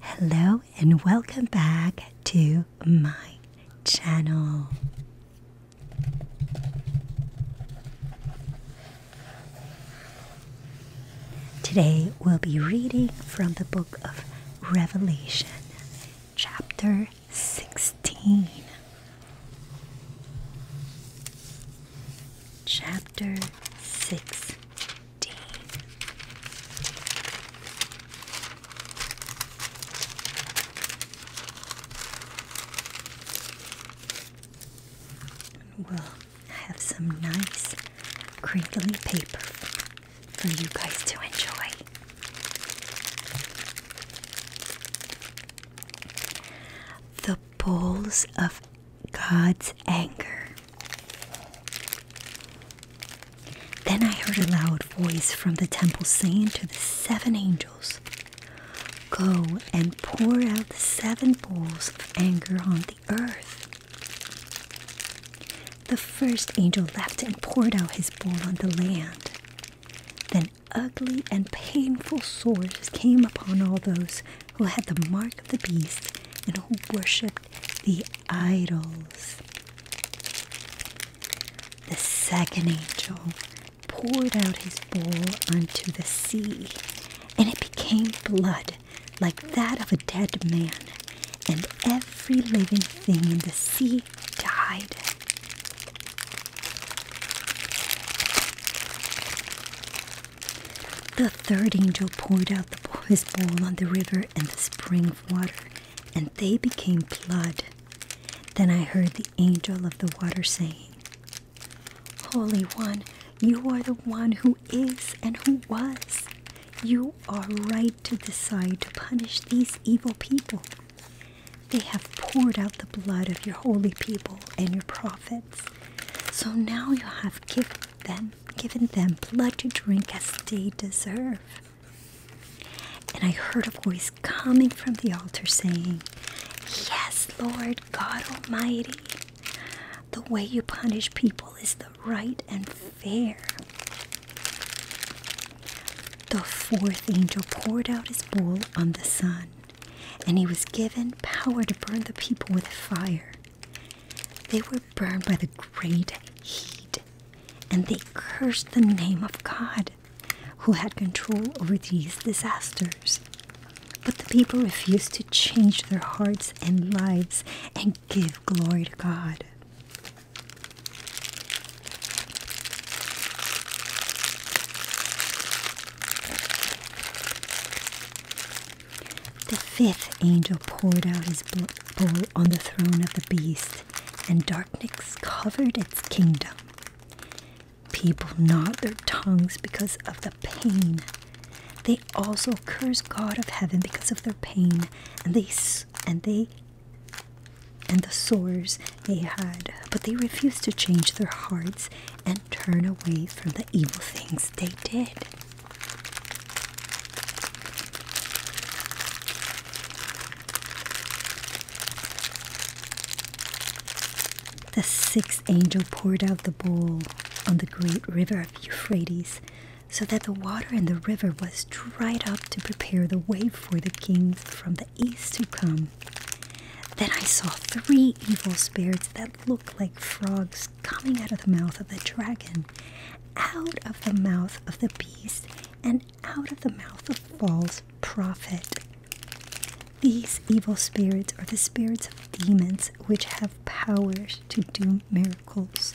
Hello and welcome back to my channel. Today we'll be reading from the book of Revelation, chapter 16. Chapter six. D. We'll have some nice crinkly paper for you guys to enjoy. The bowls of God's anger. Then I heard a loud voice from the temple saying to the seven angels, Go and pour out the seven bowls of anger on the earth. The first angel left and poured out his bowl on the land. Then ugly and painful sores came upon all those who had the mark of the beast and who worshipped the idols. The second angel poured out his bowl unto the sea, and it became blood like that of a dead man, and every living thing in the sea died. The third angel poured out the, his bowl on the river and the spring of water, and they became blood. Then I heard the angel of the water saying, Holy One, you are the one who is and who was. You are right to decide to punish these evil people. They have poured out the blood of your holy people and your prophets so now you have given them blood to drink as they deserve. And I heard a voice coming from the altar saying, Yes, Lord God Almighty, the way you punish people is the right and fair. The fourth angel poured out his bowl on the sun, and he was given power to burn the people with fire. They were burned by the great heat, and they cursed the name of God, who had control over these disasters. But the people refused to change their hearts and lives and give glory to God. The fifth angel poured out his bowl on the throne of the beast, and darkness covered its kingdom. People gnawed their tongues because of the pain. They also cursed God of heaven because of their pain, and they and they and the sores they had, but they refused to change their hearts and turn away from the the evil things they did. The sixth angel poured out the bowl on the great river of Euphrates, so that the water in the river was dried up to prepare the way for the kings from the east to come um, then I saw three evil spirits that looked like frogs coming out of the mouth of the dragon, out of the mouth of the beast, and out of the mouth of false prophet. These evil spirits are the spirits of demons which have powers to do miracles.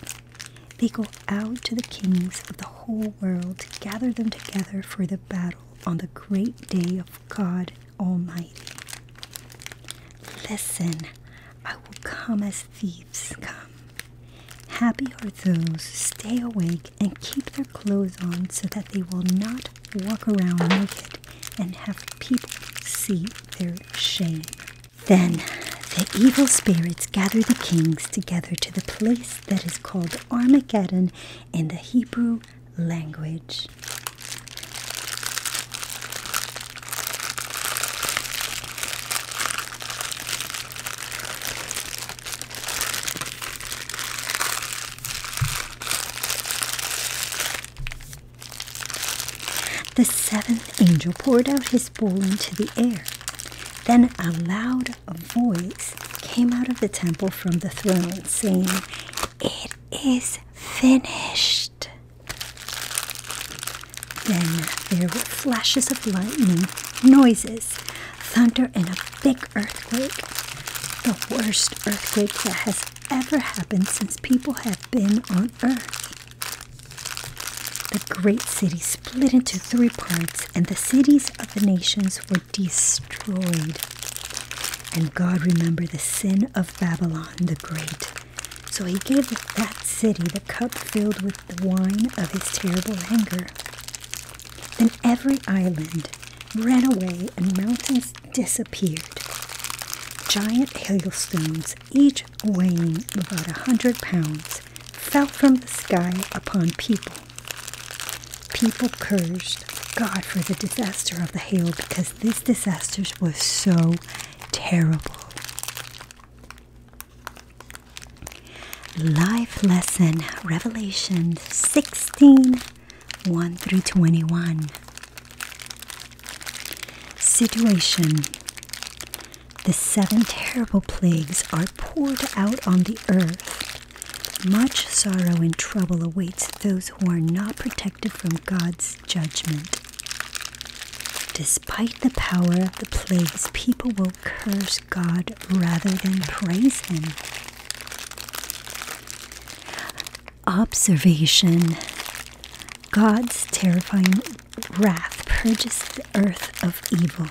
They go out to the kings of the whole world to gather them together for the battle on the great day of God Almighty. Listen, I will come as thieves come. Happy are those who stay awake and keep their clothes on so that they will not walk around naked and have people see their shame. Then the evil spirits gather the kings together to the place that is called Armageddon in the Hebrew language. The seventh angel poured out his bowl into the air. Then a loud voice came out of the temple from the throne, saying, It is finished. Then there were flashes of lightning, noises, thunder, and a big earthquake. The worst earthquake that has ever happened since people have been on Earth. The great city split into three parts, and the cities of the nations were destroyed. And God remembered the sin of Babylon the Great. So he gave that city the cup filled with the wine of his terrible anger. Then every island ran away and mountains disappeared. Giant hailstones, each weighing about a hundred pounds, fell from the sky upon people People cursed God for the disaster of the hail because this disaster was so terrible. Life lesson Revelation 16 1 through 21. Situation The seven terrible plagues are poured out on the earth. Much sorrow and trouble awaits those who are not protected from God's judgment. Despite the power of the plagues, people will curse God rather than praise Him. Observation God's terrifying wrath purges the earth of evil.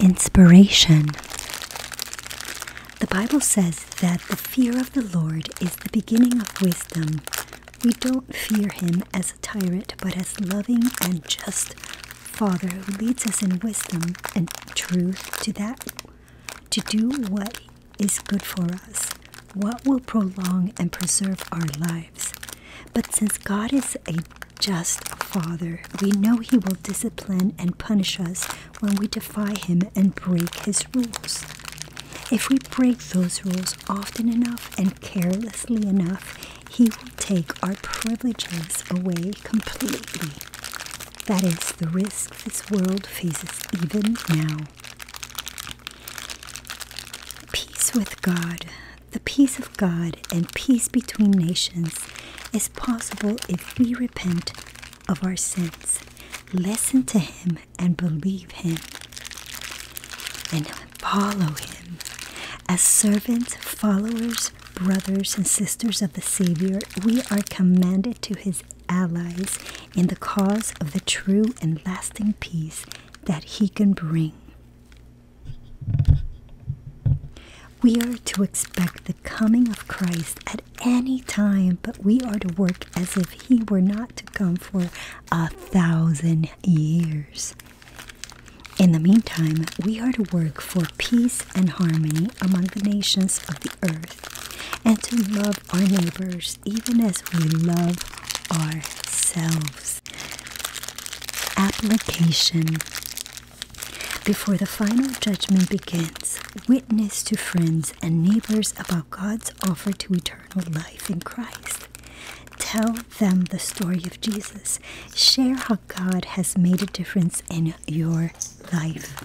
Inspiration. The Bible says that the fear of the Lord is the beginning of wisdom. We don't fear him as a tyrant, but as loving and just Father who leads us in wisdom and truth to that to do what is good for us, what will prolong and preserve our lives. But since God is a just Father, we know He will discipline and punish us when we defy Him and break His rules. If we break those rules often enough and carelessly enough, He will take our privileges away completely. That is the risk this world faces even now. Peace with God. The peace of God and peace between nations is possible if we repent of our sins, listen to Him, and believe Him, and follow Him. As servants, followers, brothers, and sisters of the Savior, we are commanded to His allies in the cause of the true and lasting peace that He can bring. We are to expect the coming of Christ at any time, but we are to work as if he were not to come for a thousand years. In the meantime, we are to work for peace and harmony among the nations of the earth and to love our neighbors even as we love ourselves application. Before the final judgment begins, witness to friends and neighbors about God's offer to eternal life in Christ. Tell them the story of Jesus. Share how God has made a difference in your life.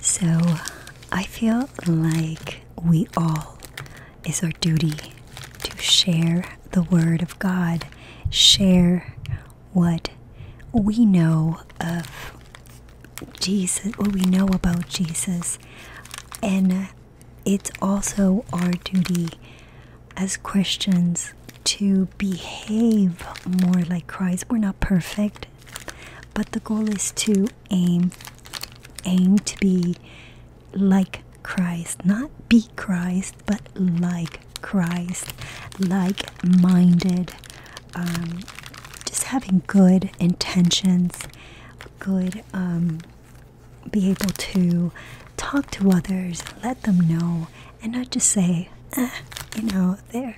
So I feel like we all, it's our duty to share the Word of God, share what we know of Jesus, what we know about Jesus, and it's also our duty as Christians to behave more like Christ. We're not perfect, but the goal is to aim aim to be like Christ, not be Christ, but like Christ, like minded, um, just having good intentions, good, um, be able to talk to others, let them know, and not just say, eh, you know, they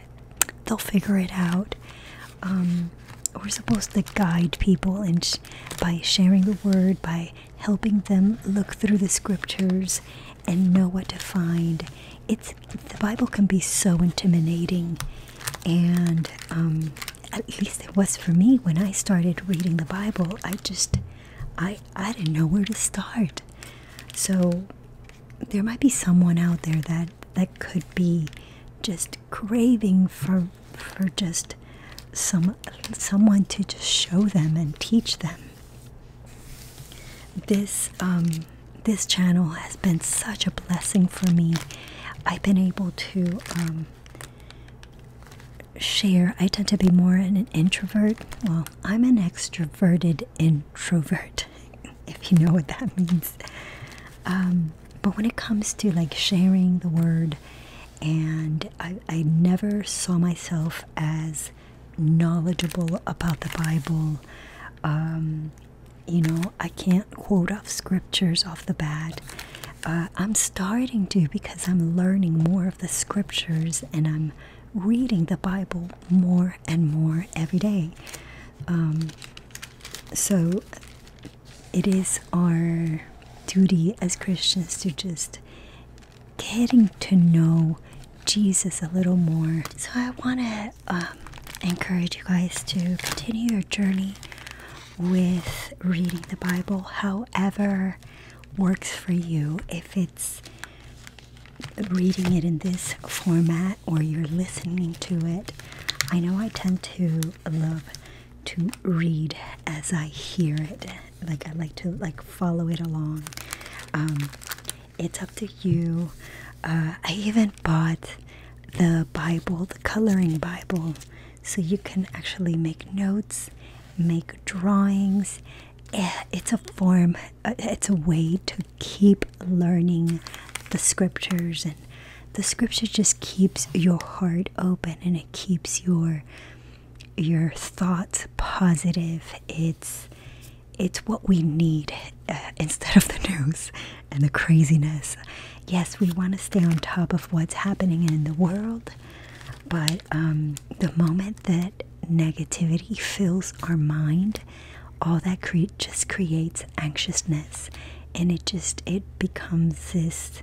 they'll figure it out. Um, we're supposed to guide people and by sharing the word, by helping them look through the scriptures and know what to find. It's the Bible can be so intimidating, and um, at least it was for me when I started reading the Bible. I just I I didn't know where to start. So there might be someone out there that that could be just craving for for just some someone to just show them and teach them this um, this channel has been such a blessing for me. I've been able to um, share. I tend to be more an introvert. Well, I'm an extroverted introvert, if you know what that means. Um, but when it comes to like sharing the word, and I, I never saw myself as knowledgeable about the Bible. Um, you know, I can't quote off scriptures off the bat. Uh, I'm starting to because I'm learning more of the scriptures and I'm reading the Bible more and more every day. Um, so it is our duty as Christians to just getting to know Jesus a little more. So I want to um, encourage you guys to continue your journey with reading the Bible, however works for you. If it's reading it in this format or you're listening to it, I know I tend to love to read as I hear it like I like to like follow it along. Um, it's up to you. Uh, I even bought the Bible, the coloring Bible, so you can actually make notes, make drawings. Eh, it's a form. Uh, it's a way to keep learning the scriptures and the scripture just keeps your heart open and it keeps your your thoughts positive. It's it's what we need uh, instead of the news and the craziness. Yes, we want to stay on top of what's happening in the world, but um, the moment that negativity fills our mind, all that just creates anxiousness, and it just it becomes this.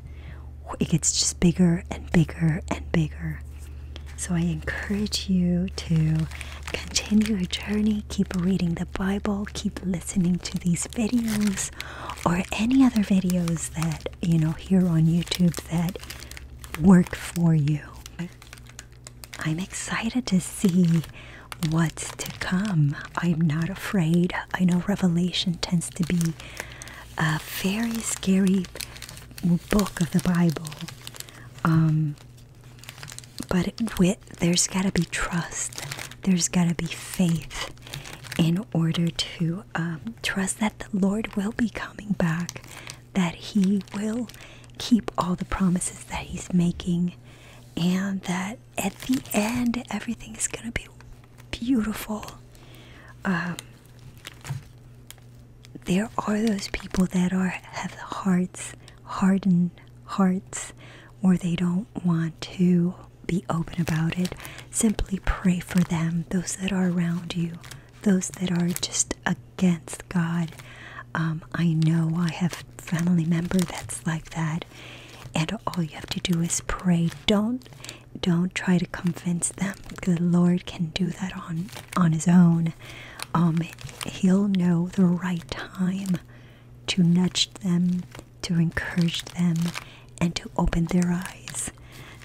It gets just bigger and bigger and bigger. So I encourage you to continue your journey, keep reading the Bible, keep listening to these videos or any other videos that you know here on YouTube that work for you. I'm excited to see what's to come. I'm not afraid. I know Revelation tends to be a very scary book of the Bible. Um, but with there's got to be trust, there's got to be faith in order to um, trust that the Lord will be coming back, that He will keep all the promises that He's making, and that at the end everything is going to be beautiful. Um, there are those people that are have hearts hardened hearts or they don't want to be open about it simply pray for them those that are around you those that are just against god um, i know i have family member that's like that and all you have to do is pray don't don't try to convince them. The Lord can do that on on his own. Um, he'll know the right time to nudge them, to encourage them, and to open their eyes.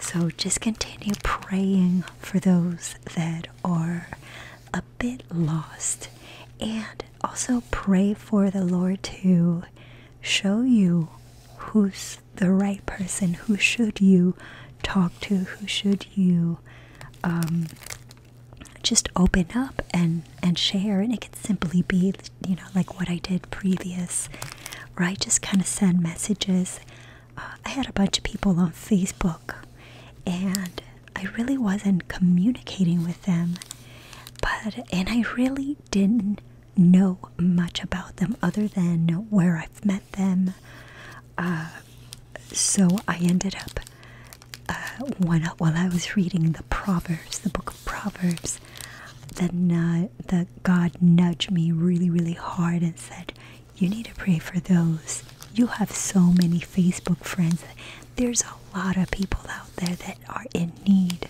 So just continue praying for those that are a bit lost and also pray for the Lord to show you who's the right person? Who should you talk to? Who should you um, just open up and and share? And it could simply be, you know, like what I did previous, right? Just kind of send messages. Uh, I had a bunch of people on Facebook, and I really wasn't communicating with them, but and I really didn't know much about them other than where I've met them. Uh, so I ended up, uh, when, while I was reading the Proverbs, the book of Proverbs, that uh, God nudged me really, really hard and said, "You need to pray for those. You have so many Facebook friends. There's a lot of people out there that are in need.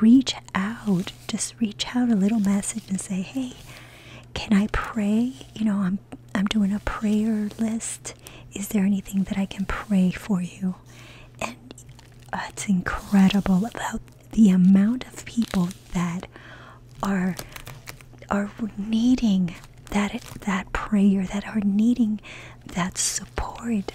Reach out. Just reach out a little message and say, "Hey, can I pray? You know, I'm I'm doing a prayer list. Is there anything that I can pray for you? And it's incredible about the amount of people that are are needing that that prayer, that are needing that support,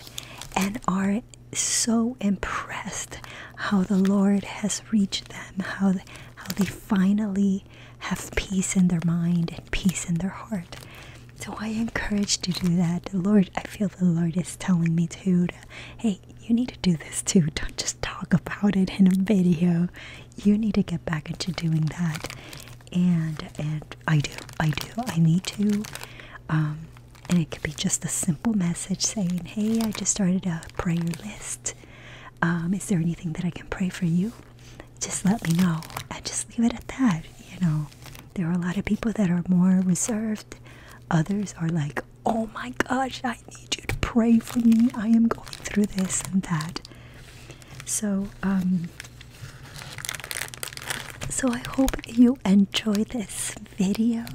and are so impressed how the Lord has reached them, how they, how they finally have peace in their mind and peace in their heart. So I encourage to do that. The Lord, I feel the Lord is telling me To, hey, you need to do this too. Don't just talk about it in a video. You need to get back into doing that. And and I do, I do, I need to. Um, and it could be just a simple message saying, Hey, I just started a prayer list. Um, is there anything that I can pray for you? Just let me know. And just leave it at that. You know, there are a lot of people that are more reserved. Others are like, Oh my gosh, I need you to pray for me. I am going through this and that. So, um, so I hope you enjoy this video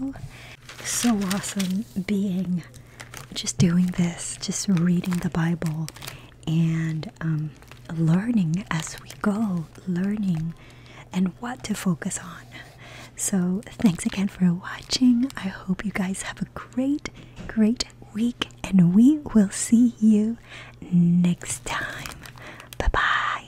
so awesome being just doing this, just reading the Bible and um, learning as we go, learning and what to focus on. So, thanks again for watching. I hope you guys have a great, great week, and we will see you next time. Bye bye.